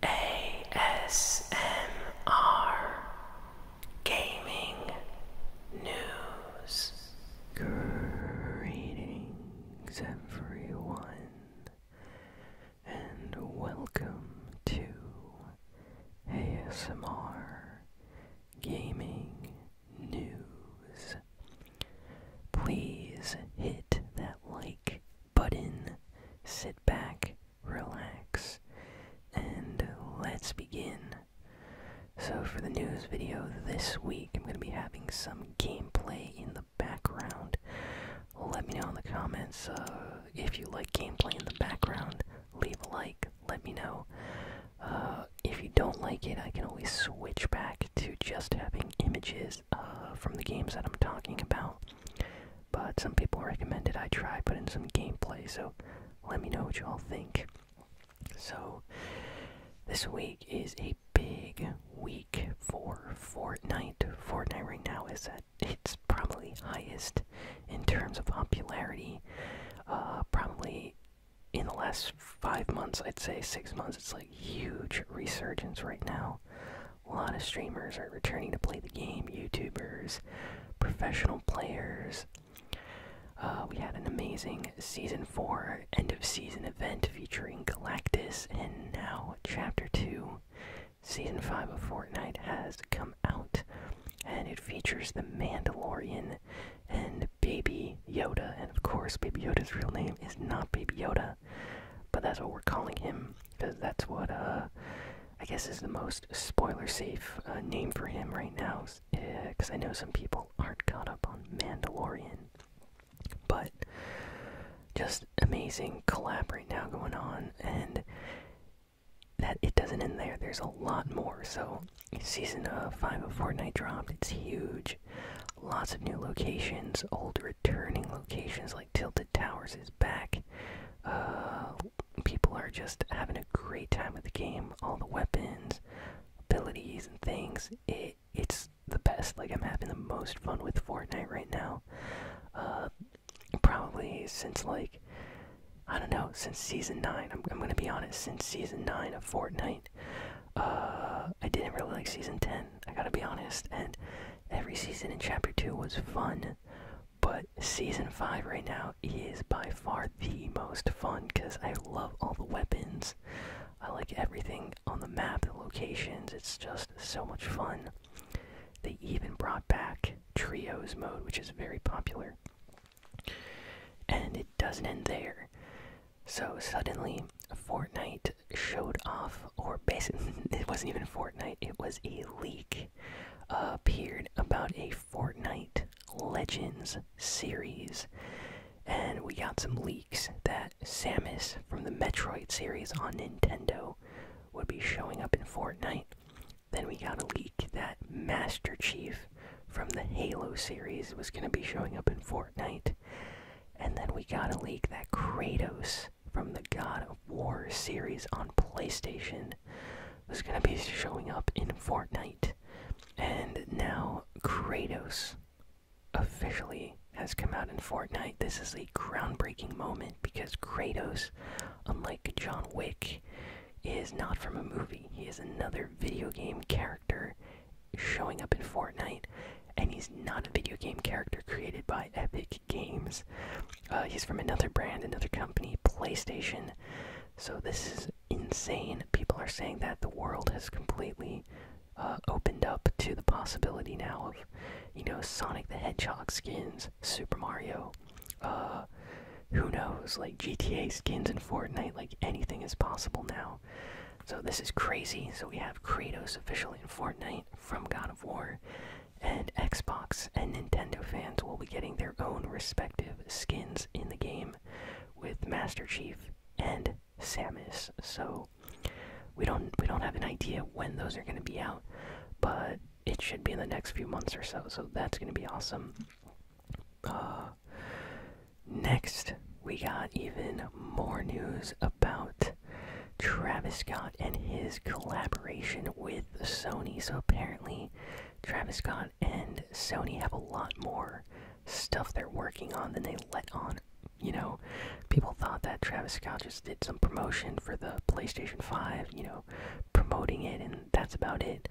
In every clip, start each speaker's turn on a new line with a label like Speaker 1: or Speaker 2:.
Speaker 1: ASMR Gaming News. everyone, and welcome to ASMR Gaming News. Please hit that like button. Sit back, relax, and let's begin. So, for the news video this week, I'm going to be having some gameplay in the background. Let me know in the comments uh, if you like gameplay in the background. Leave a like, let me know. Uh, if you don't like it, I can always switch back to just having images uh, from the games that I'm talking about. But some people recommended I try putting some gameplay, so let me know what you all think. So, this week is a big week for Fortnite. Fortnite right now is at its probably highest in terms of popularity. Uh, probably in the last five months, I'd say six months, it's like huge resurgence right now a lot of streamers are returning to play the game youtubers professional players uh, we had an amazing season 4 end of season event featuring galactus and now chapter 2 season 5 of fortnite has come out and it features the mandalorian and baby yoda and of course baby yoda's real name is not baby yoda but that's what we're calling him because that's what uh, I guess is the most spoiler-safe uh, name for him right now. Because eh, I know some people aren't caught up on Mandalorian, but just amazing collab right now going on, and that it doesn't end there. There's a lot more. So season uh, five of Fortnite dropped. It's huge. Lots of new locations, old returning locations like Tilted Towers is back. Uh, people are just having a great time with the game. All the weapons, abilities, and things. It it's the best. Like I'm having the most fun with Fortnite right now. Uh, probably since like I don't know since season nine. I'm I'm gonna be honest. Since season nine of Fortnite, uh, I didn't really like season 10, I gotta be honest, and every season in chapter 2 was fun, but season 5 right now is by far the most fun because I love all the weapons. I like everything on the map, the locations, it's just so much fun. They even brought back Trios mode, which is very popular. And it doesn't end there. So suddenly, Fortnite showed off, or basically, it wasn't even Fortnite, it was a leak uh, appeared about a Fortnite Legends series. And we got some leaks that Samus from the Metroid series on Nintendo would be showing up in Fortnite. Then we got a leak that Master Chief from the Halo series was going to be showing up in Fortnite. And then we got a leak that Kratos from the God of War series on PlayStation was going to be showing up in Fortnite. And now Kratos officially has come out in Fortnite. This is a groundbreaking moment because Kratos, unlike John Wick, is not from a movie. He is another video game character showing up in Fortnite, and he's not a video game character created by Epic Games. Uh, he's from another brand, another company, PlayStation. So this is insane. People are saying that the world has completely uh, opened up to the possibility now of, you know, Sonic the Hedgehog skins, Super Mario, uh, who knows, like GTA skins and Fortnite, like anything is possible now. So this is crazy. So we have Kratos officially in Fortnite from God of War, and Xbox and Nintendo fans will be getting their own respective skins in the game with Master Chief and Samus. So we don't we don't have an idea when those are going to be out, but it should be in the next few months or so. So that's going to be awesome. Uh, Next, we got even more news about Travis Scott and his collaboration with Sony. So apparently, Travis Scott and Sony have a lot more stuff they're working on than they let on. You know, people thought that Travis Scott just did some promotion for the PlayStation 5, you know, promoting it, and that's about it.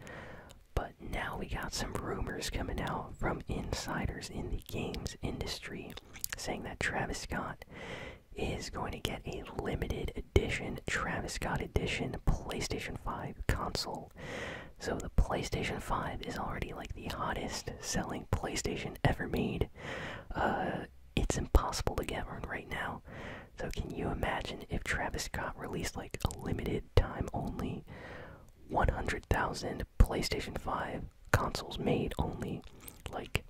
Speaker 1: But now we got some rumors coming out from insiders in the games industry saying that Travis Scott is going to get a limited edition Travis Scott edition PlayStation 5 console. So the PlayStation 5 is already like the hottest selling PlayStation ever made. Uh, it's impossible to get one right now. So can you imagine if Travis Scott released like a limited time only 100,000 PlayStation 5 consoles made only like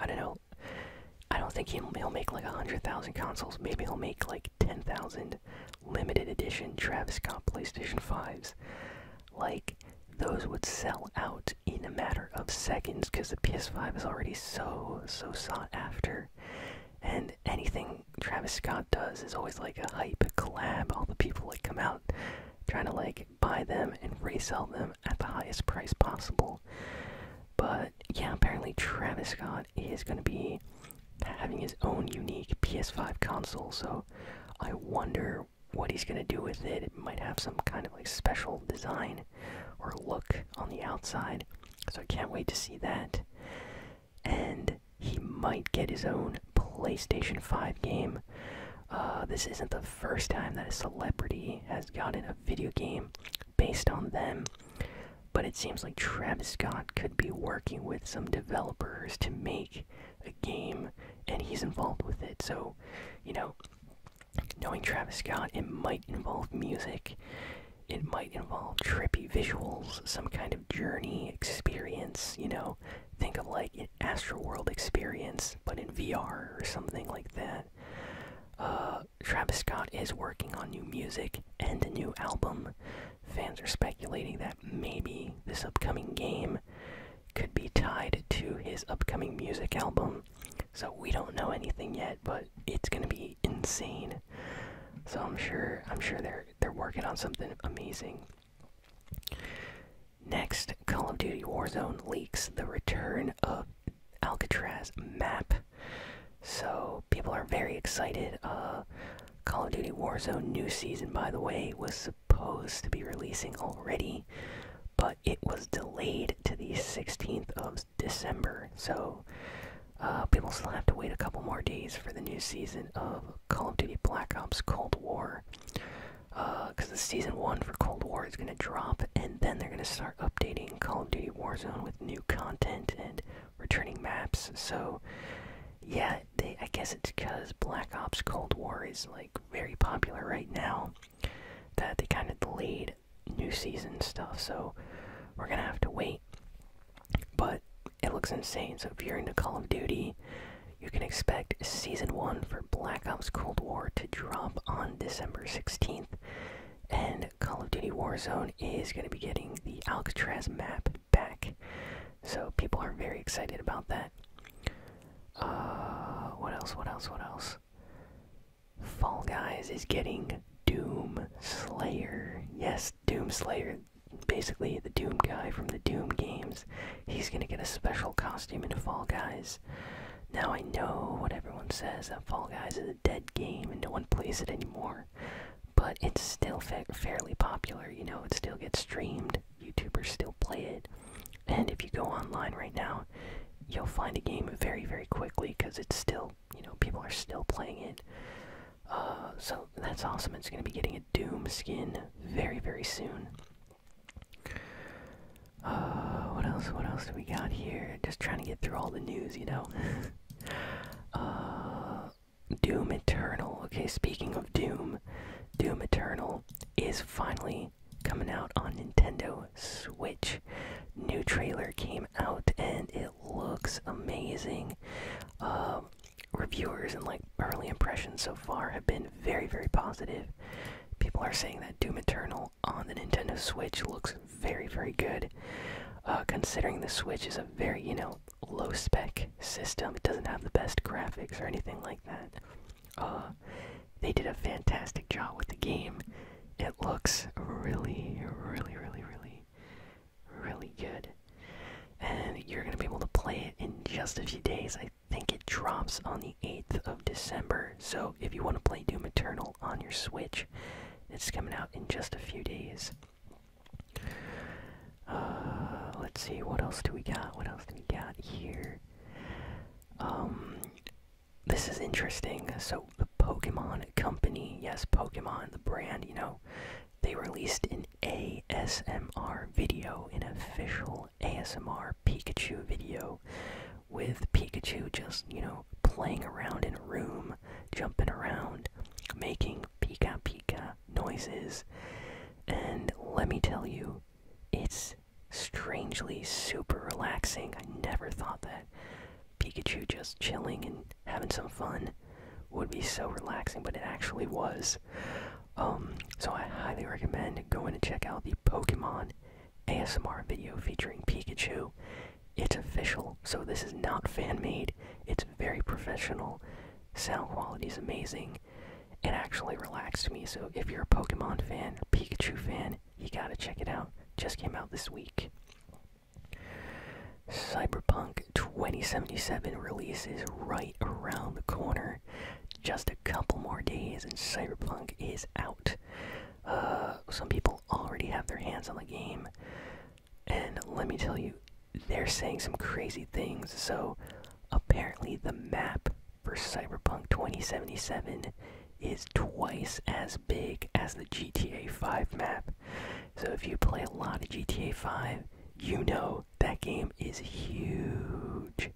Speaker 1: I don't know. I don't think he'll, make like 100,000 consoles. Maybe he'll make like 10,000 limited edition Travis Scott PlayStation 5s. Like, those would sell out in a matter of seconds because the PS5 is already so, so sought after. And anything Travis Scott does is always like a hype collab. All the people like come out trying to like buy them and resell them at the highest price possible. But yeah, apparently Travis Scott is going to be having his own unique PS5 console, so I wonder what he's going to do with it. It might have some kind of like special design or look on the outside, so I can't wait to see that and he might get his own PlayStation 5 game. Uh, this isn't the first time that a celebrity has gotten a video game based on them, but it seems like Travis Scott could be working with some developers to make a game, and he's involved with it. So, you know, knowing Travis Scott, it might involve music. It might involve trippy visuals, some kind of journey experience, you know, think of like an Astroworld experience, but in VR or something like that. Uh, Travis Scott is working on new music and a new album. Fans are speculating that maybe this upcoming game could be tied to his upcoming music album. So we don't know anything yet, but it's gonna be insane. So I'm sure I'm sure they're they're working on something amazing. Next, Call of Duty Warzone leaks the return of Alcatraz map. So people are very excited. Uh, Call of Duty Warzone new season, by the way, was supposed to be releasing already, but it was delayed to the 16th of December. So uh, people still have to wait a couple more days for the new season of Call of Duty Black Ops Cold War. Because uh, the season one for Cold War is going to drop, and then they're going to start updating Call of Duty Warzone with new content and returning maps. So, yeah, they, I guess it's because Black Ops Cold War is like very popular right now that they kind of delayed new season stuff. So, we're going to have to wait. But it looks insane. So if you're into Call of Duty, you can expect Season 1 for Black Ops Cold War to drop on December 16th. And Call of Duty Warzone is going to be getting the Alcatraz map back. So people are very excited about that. Uh, what else? What else? What else? Fall Guys is getting Doom Slayer. Yes, Doom Slayer basically the Doom guy from the Doom games. He's gonna get a special costume in Fall Guys. Now I know what everyone says that Fall Guys is a dead game and no one plays it anymore, but it's still fa fairly popular. You know, it still gets streamed. YouTubers still play it, and if you go online right now, you'll find a game very very quickly because it's still you know people are still playing it. Uh, so that's awesome. It's going to be getting a Doom skin very, very soon. Uh, what else? What else do we got here? Just trying to get through all the news, you know. Uh, Doom Eternal. Okay, speaking of Doom, Doom Eternal is finally coming out on Nintendo Switch. New trailer came out and it looks amazing. Um, reviewers and like early impressions so far have been very very positive people are saying that doom eternal on the nintendo switch looks very very good uh, considering the switch is a very you know low spec system it doesn't have the best graphics or anything like that uh, they did a fantastic job with the game it looks really really really really really good. And you're going to be able to play it in just a few days. I think it drops on the 8th of December. So if you want to play Doom Eternal on your Switch, it's coming out in just a few days. Uh, let's see, what else do we got? What else do we got here? Um, this is interesting. So the Pokemon Company, yes, Pokemon, the brand, you know, they released an ASMR video, an official ASMR Pikachu video, with Pikachu just, you know, playing around in a room, jumping around, making Pika Pika noises. And let me tell you, it's strangely super relaxing. I never thought that Pikachu just chilling and having some fun would be so relaxing, but it actually was. Um, so I highly recommend going and check out the Pokemon ASMR video featuring Pikachu. It's official, so this is not fan made. It's very professional. Sound quality is amazing. It actually relaxed me, so if you're a Pokemon fan Pikachu fan, you gotta check it out. Just came out this week. Cyberpunk 2077 release is right around the corner. Just a couple more days and Cyberpunk is out. Uh, some people already have their hands on the game. And let me tell you, they're saying some crazy things. So, apparently, the map for Cyberpunk 2077 is twice as big as the GTA 5 map. So if you play a lot of GTA 5, you know that game is huge.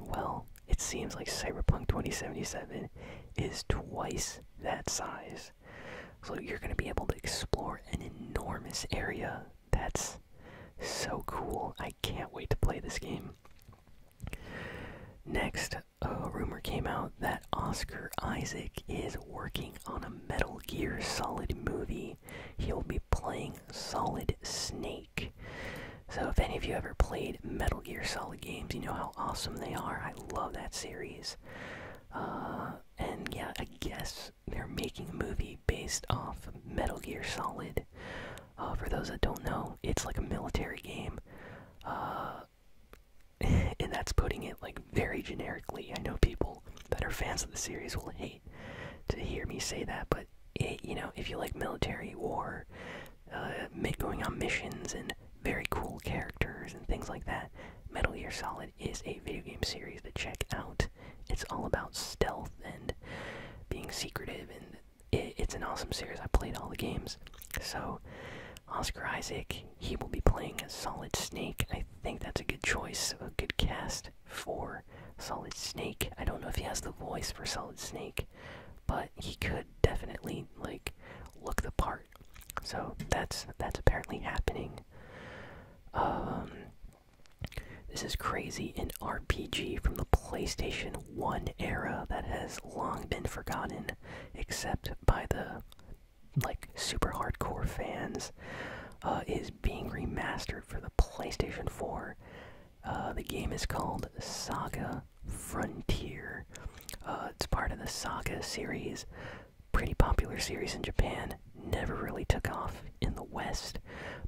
Speaker 1: Well, it seems like Cyberpunk 2077 is twice that size. So you're going to be able to explore an enormous area. That's so cool. I can't wait to play this game. Next, a rumor came out that Oscar Isaac is working on a Metal Gear Solid movie. He'll be playing Solid Snake. So, if any of you ever played Metal Gear Solid games, you know how awesome they are. I love that series. Uh, and yeah, I guess they're making a movie based off Metal Gear Solid. Uh, for those that don't know, it's like a military game. Uh, and that's putting it like very generically. I know people that are fans of the series will hate to hear me say that, but you know, if you like military war, uh, going on missions and very cool characters and things like that, Metal Gear Solid is a video game series to check out. It's all about stealth and being secretive, and it's an awesome series. I played all the games, so Oscar Isaac, he will be playing a Solid Snake. I think that's a good choice, a good cast for Solid Snake. I don't know if he has the voice for Solid Snake, but he could definitely like look the part. So that's that's apparently happening. Um this is crazy an RPG from the PlayStation 1 era that has long been forgotten except by the like super hardcore fans, uh, is being remastered for the PlayStation 4. Uh, the game is called Saga Frontier. Uh, it's part of the Saga series, pretty popular series in Japan. Never really took off in the West,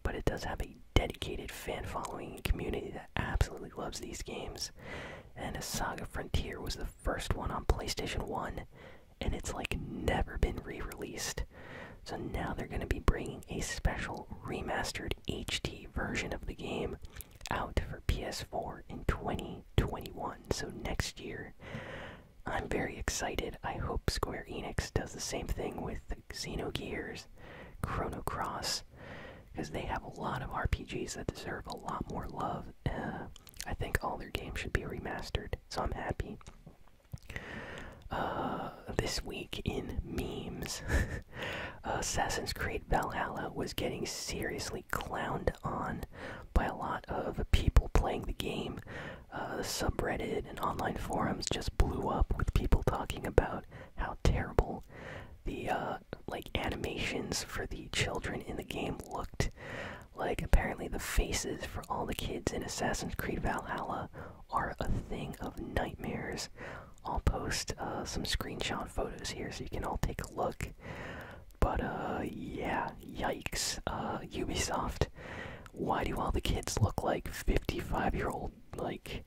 Speaker 1: but it does have a dedicated fan following and community that absolutely loves these games. And a Saga Frontier was the first one on PlayStation 1, and it's like never been re released. So now they're going to be bringing a special remastered HD version of the game out for PS4 in 2021, so next year. I'm very excited. I hope Square Enix does the same thing with Xenogears, Chrono Cross, because they have a lot of RPGs that deserve a lot more love. Uh, I think all their games should be remastered, so I'm happy. Uh, this week in memes, Assassin's Creed Valhalla was getting seriously clowned on by a lot of people playing the game. Uh, subreddit and online forums just blew up with people talking about how terrible the uh, like animations for the children in the game looked. Like apparently the faces for all the kids in Assassin's Creed Valhalla are a thing of nightmares. I'll post uh, some screenshot photos here so you can all take a look. But uh, yeah, yikes, uh, Ubisoft. Why do all the kids look like 55 year old? Like,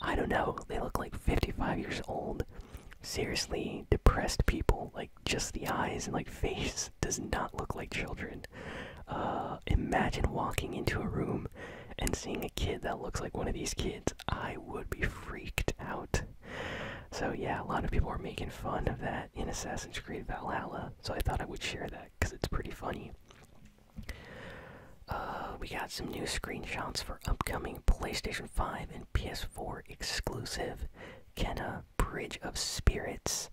Speaker 1: I don't know, they look like 55 years old seriously depressed people like just the eyes and like face does not look like children uh, imagine walking into a room and seeing a kid that looks like one of these kids i would be freaked out so yeah a lot of people are making fun of that in assassin's creed valhalla so i thought i would share that because it's pretty funny uh, we got some new screenshots for upcoming PlayStation 5 and PS4 exclusive Kena: Bridge of Spirits.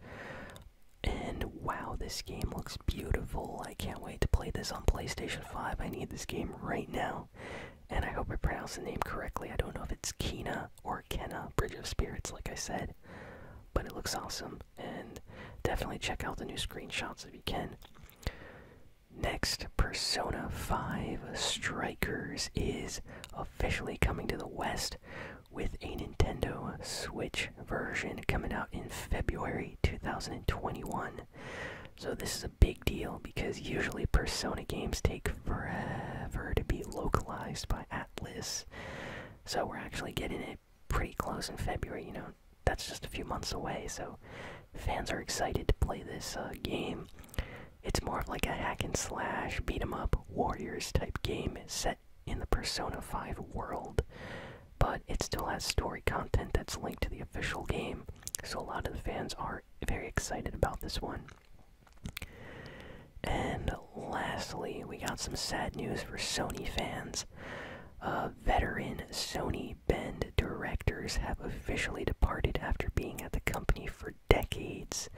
Speaker 1: And wow, this game looks beautiful. I can't wait to play this on PlayStation 5. I need this game right now. And I hope I pronounced the name correctly. I don't know if it's Kena or Kena: Bridge of Spirits, like I said. But it looks awesome. And definitely check out the new screenshots if you can. Next, Persona 5 Strikers is officially coming to the West with a Nintendo Switch version coming out in February 2021. So, this is a big deal because usually Persona games take forever to be localized by Atlas. So, we're actually getting it pretty close in February, you know, that's just a few months away, so fans are excited to play this uh, game. It's more of like a hack and slash, beat 'em up, warriors type game set in the Persona 5 world, but it still has story content that's linked to the official game, so a lot of the fans are very excited about this one. And lastly, we got some sad news for Sony fans. Uh, veteran Sony Bend directors have officially departed after being at the company for decades.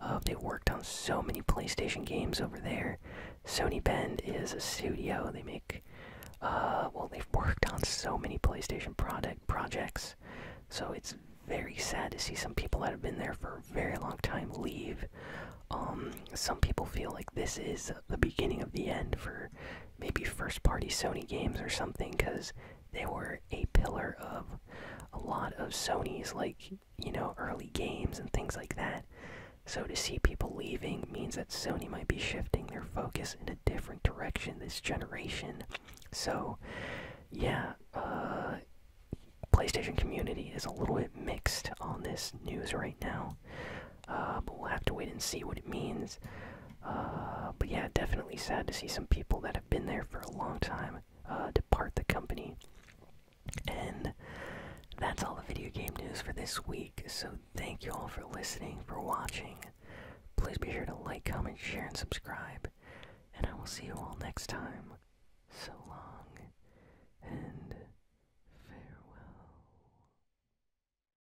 Speaker 1: Um, they worked on so many PlayStation games over there. Sony Bend is a studio. They make, uh, well, they've worked on so many PlayStation product projects. So it's very sad to see some people that have been there for a very long time leave. Um, some people feel like this is the beginning of the end for maybe first party Sony games or something because they were a pillar of a lot of Sony's, like, you know, early games and things like that. So to see people leaving means that Sony might be shifting their focus in a different direction this generation. So, yeah, uh, PlayStation community is a little bit mixed on this news right now. Uh, but we'll have to wait and see what it means. Uh, but yeah, definitely sad to see some people that have been there for a long time uh, depart the company. And that's all the video game news for this week. So thank you all for listening, for watching. Please be sure to like, comment, share, and subscribe. And I will see you all next time. So long and farewell.